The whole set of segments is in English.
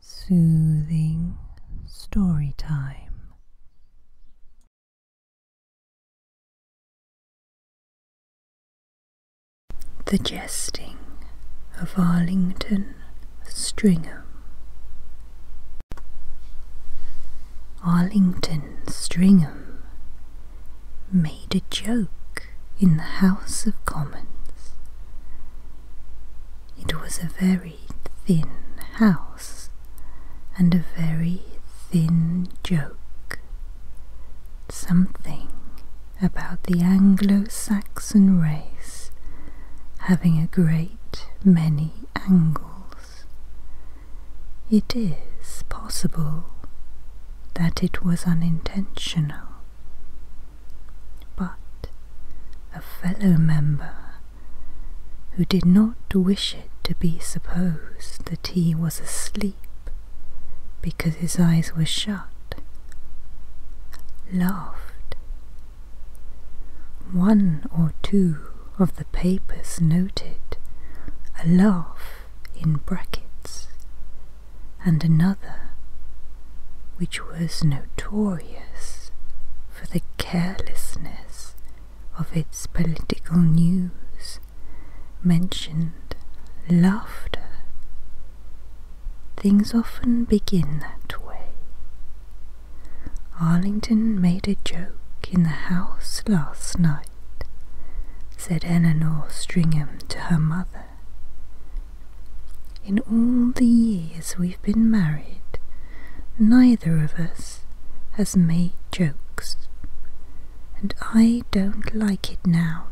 Soothing story time. The jesting of Arlington Stringham. Arlington Stringham made a joke in the House of Commons. It was a very thin house and a very thin joke. Something about the Anglo Saxon race having a great many angles. It is possible that it was unintentional but a fellow member who did not wish it to be supposed that he was asleep because his eyes were shut, laughed. One or two of the papers noted a laugh in brackets and another which was notorious for the carelessness of its political news, mentioned laughter. Things often begin that way. Arlington made a joke in the house last night, said Eleanor Stringham to her mother, in all the years we've been married, neither of us has made jokes, and I don't like it now.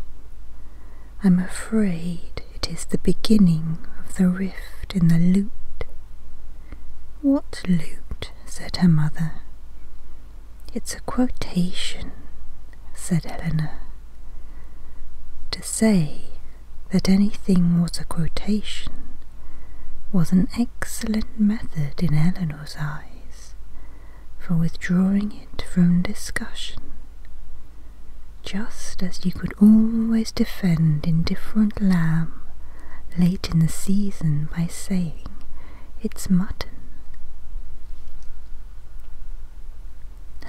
I'm afraid it is the beginning of the rift in the lute. What lute? said her mother. It's a quotation, said Helena. To say that anything was a quotation was an excellent method in Eleanor's eyes for withdrawing it from discussion, just as you could always defend indifferent lamb late in the season by saying it's mutton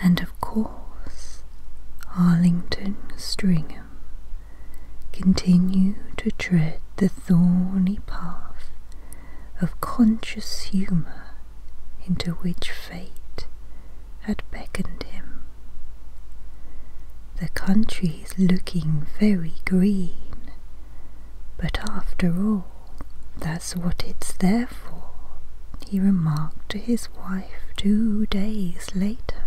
and of course Arlington Stringham continued to tread the thorny path of conscious humour into which fate had beckoned him. The country is looking very green, but after all, that's what it's there for, he remarked to his wife two days later.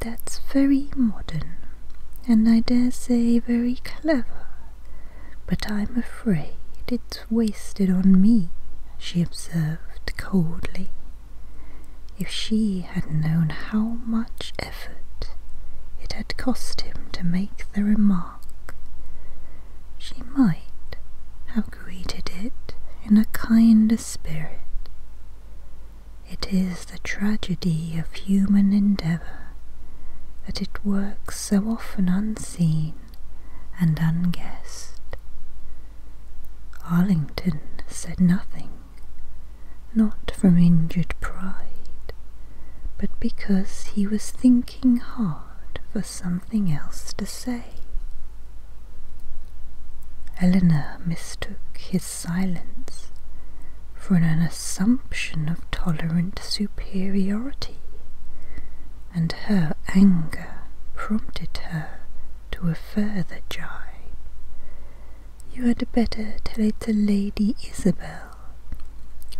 That's very modern, and I dare say very clever, but I'm afraid it's wasted on me, she observed coldly. If she had known how much effort it had cost him to make the remark, she might have greeted it in a kinder spirit. It is the tragedy of human endeavour that it works so often unseen and unguessed. Arlington said nothing, not from injured pride, but because he was thinking hard for something else to say say? Eleanor mistook his silence for an assumption of tolerant superiority, and her anger prompted her to a further jibe. You had better tell it to Lady Isabel.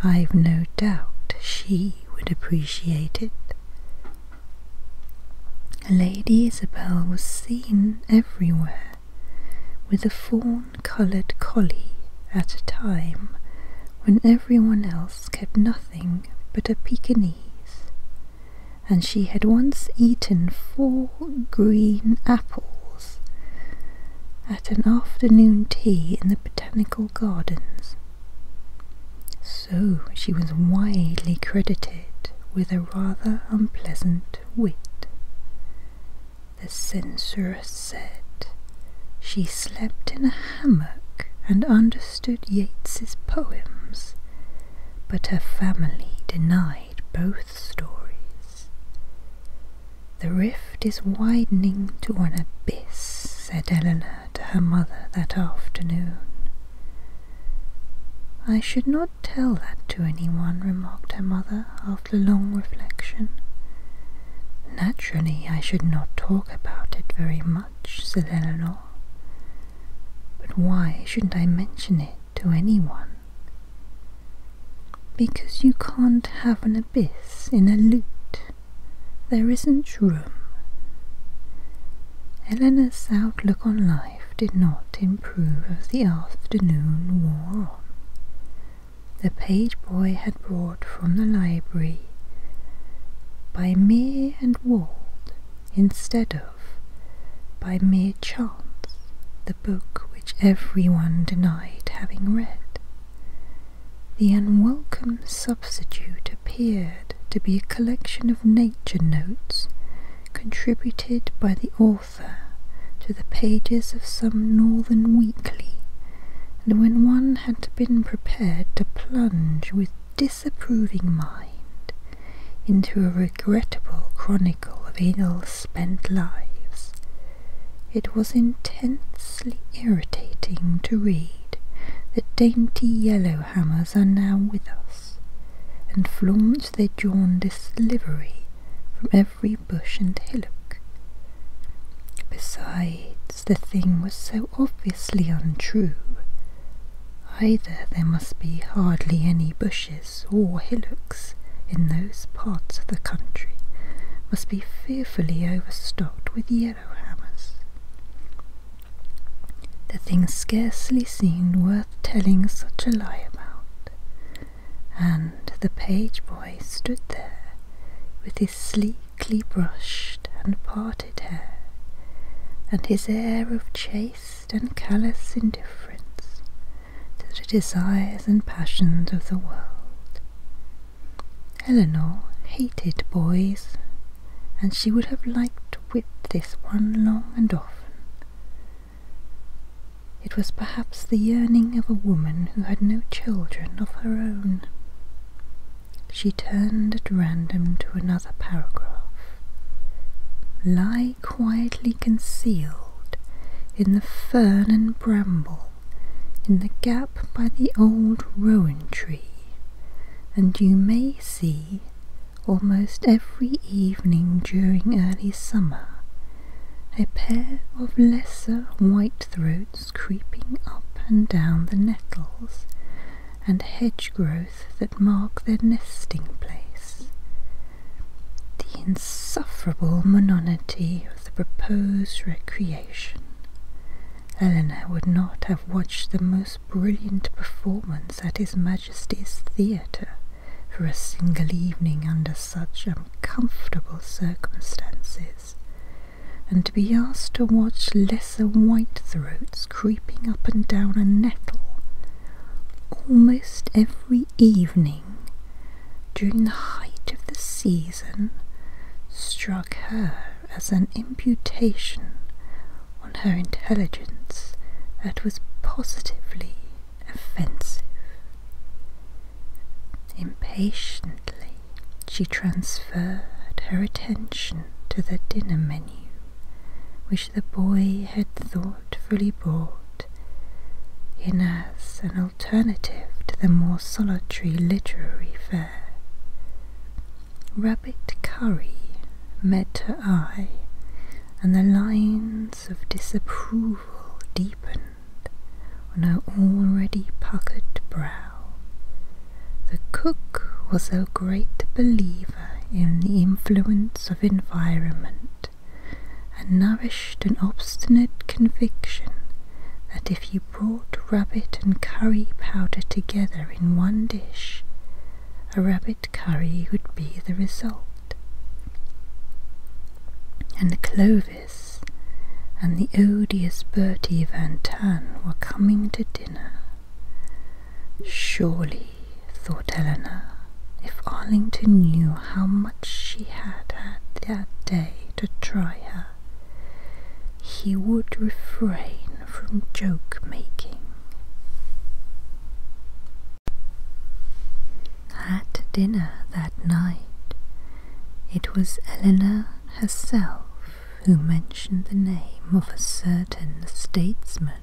I've no doubt she would appreciate it. Lady Isabel was seen everywhere with a fawn-coloured collie at a time when everyone else kept nothing but a Pekingese, and she had once eaten four green apples at an afternoon tea in the botanical gardens so she was widely credited with a rather unpleasant wit. The censoress said she slept in a hammock and understood Yeats's poems, but her family denied both stories. The rift is widening to an abyss, said Eleanor to her mother that afternoon. I should not tell that to anyone, remarked her mother after long reflection. Naturally, I should not talk about it very much, said Eleanor. But why shouldn't I mention it to anyone? Because you can't have an abyss in a lute. There isn't room. Eleanor's outlook on life did not improve as the afternoon wore on. The page boy had brought from the library by mere and walled instead of by mere chance the book which everyone denied having read. The unwelcome substitute appeared to be a collection of nature notes contributed by the author to the pages of some northern weekly, and when one had been prepared to plunge with disapproving mind into a regrettable chronicle of ill-spent lives, it was intensely irritating to read the dainty yellow Hammers are now with us, and flaunt their jaundiced livery from every bush and hillock. Besides, the thing was so obviously untrue. Either there must be hardly any bushes or hillocks in those parts of the country, must be fearfully overstocked with yellow hammers. The thing scarcely seemed worth telling such a lie about, and the page boy stood there with his sleekly brushed and parted hair, and his air of chaste and callous indifference to the desires and passions of the world. Eleanor hated boys and she would have liked to whip this one long and often. It was perhaps the yearning of a woman who had no children of her own. She turned at random to another paragraph. Lie quietly concealed in the fern and bramble, in the gap by the old rowan tree, and you may see Almost every evening during early summer, a pair of lesser white throats creeping up and down the nettles and hedge growth that mark their nesting place. The insufferable monotony of the proposed recreation. Eleanor would not have watched the most brilliant performance at His Majesty's Theatre for a single evening under such uncomfortable circumstances, and to be asked to watch lesser white throats creeping up and down a nettle almost every evening during the height of the season struck her as an imputation on her intelligence that was positively offensive. Impatiently, she transferred her attention to the dinner menu, which the boy had thoughtfully brought in as an alternative to the more solitary literary fare. Rabbit curry met her eye, and the lines of disapproval deepened on her already puckered brow. The cook was a great believer in the influence of environment and nourished an obstinate conviction that if you brought rabbit and curry powder together in one dish, a rabbit curry would be the result. And Clovis and the odious Bertie Van Tan were coming to dinner. Surely, thought Eleanor, if Arlington knew how much she had had that day to try her, he would refrain from joke making. At dinner that night, it was Eleanor herself who mentioned the name of a certain statesman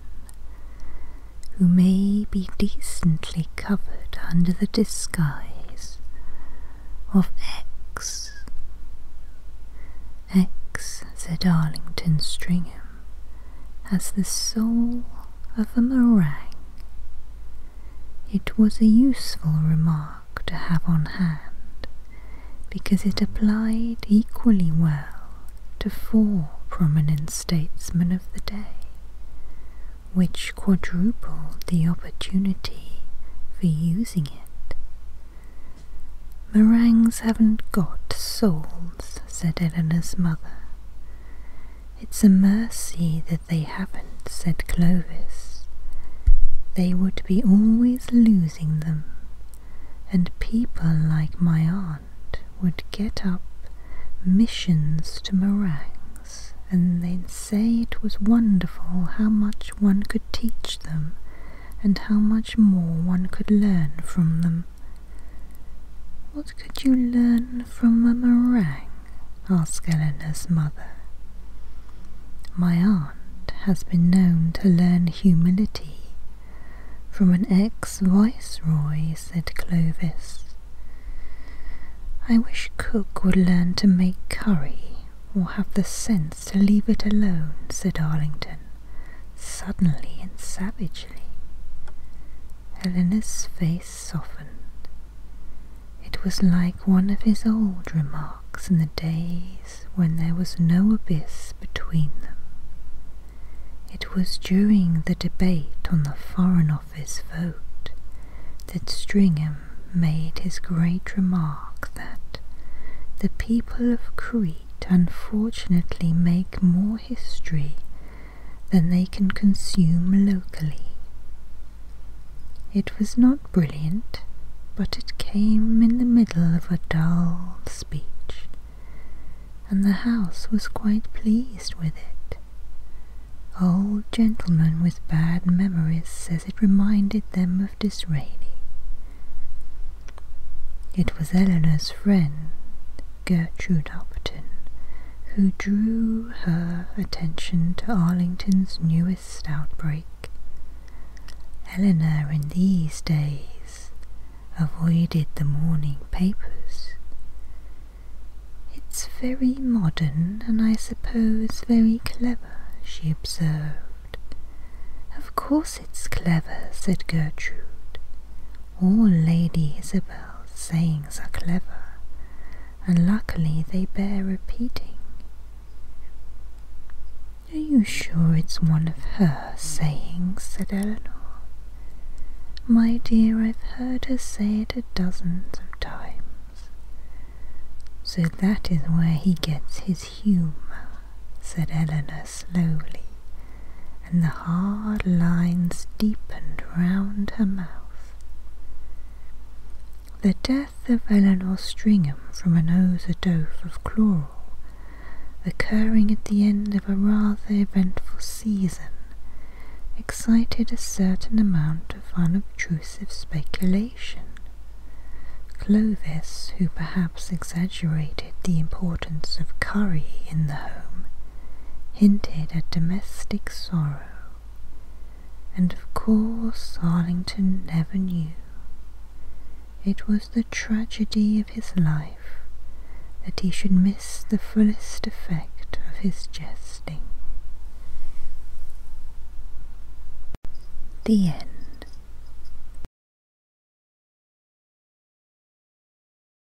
who may be decently covered under the disguise of X. X, said Arlington Stringer as the soul of a meringue. It was a useful remark to have on hand because it applied equally well to four prominent statesmen of the day, which quadrupled the opportunity for using it. Meringues haven't got souls, said Eleanor's mother. It's a mercy that they haven't, said Clovis. They would be always losing them, and people like my aunt would get up missions to meringues, and they'd say it was wonderful how much one could teach them and how much more one could learn from them. What could you learn from a meringue? asked Eleanor's mother. My aunt has been known to learn humility from an ex-viceroy, said Clovis. I wish cook would learn to make curry or have the sense to leave it alone, said Arlington, suddenly and savagely. Helena's face softened. It was like one of his old remarks in the days when there was no abyss between them. It was during the debate on the Foreign Office vote that Stringham made his great remark that the people of Crete unfortunately make more history than they can consume locally. It was not brilliant, but it came in the middle of a dull speech, and the house was quite pleased with it. Old gentlemen with bad memories says it reminded them of Disraeli. It was Eleanor's friend Gertrude Upton, who drew her attention to Arlington's newest outbreak. Eleanor, in these days, avoided the morning papers. It's very modern and I suppose very clever, she observed. Of course it's clever, said Gertrude. All Lady Isabel's sayings are clever, and luckily they bear repeating. Are you sure it's one of her sayings? said Eleanor. My dear, I've heard her say it a dozen of times. So that is where he gets his humour, said Eleanor slowly and the hard lines deepened round her mouth. The death of Eleanor Stringham from an overdose of chloral, occurring at the end of a rather eventful season, excited a certain amount of unobtrusive speculation. Clovis, who perhaps exaggerated the importance of curry in the home, hinted at domestic sorrow, and of course Arlington never knew. It was the tragedy of his life that he should miss the fullest effect of his jesting. The end.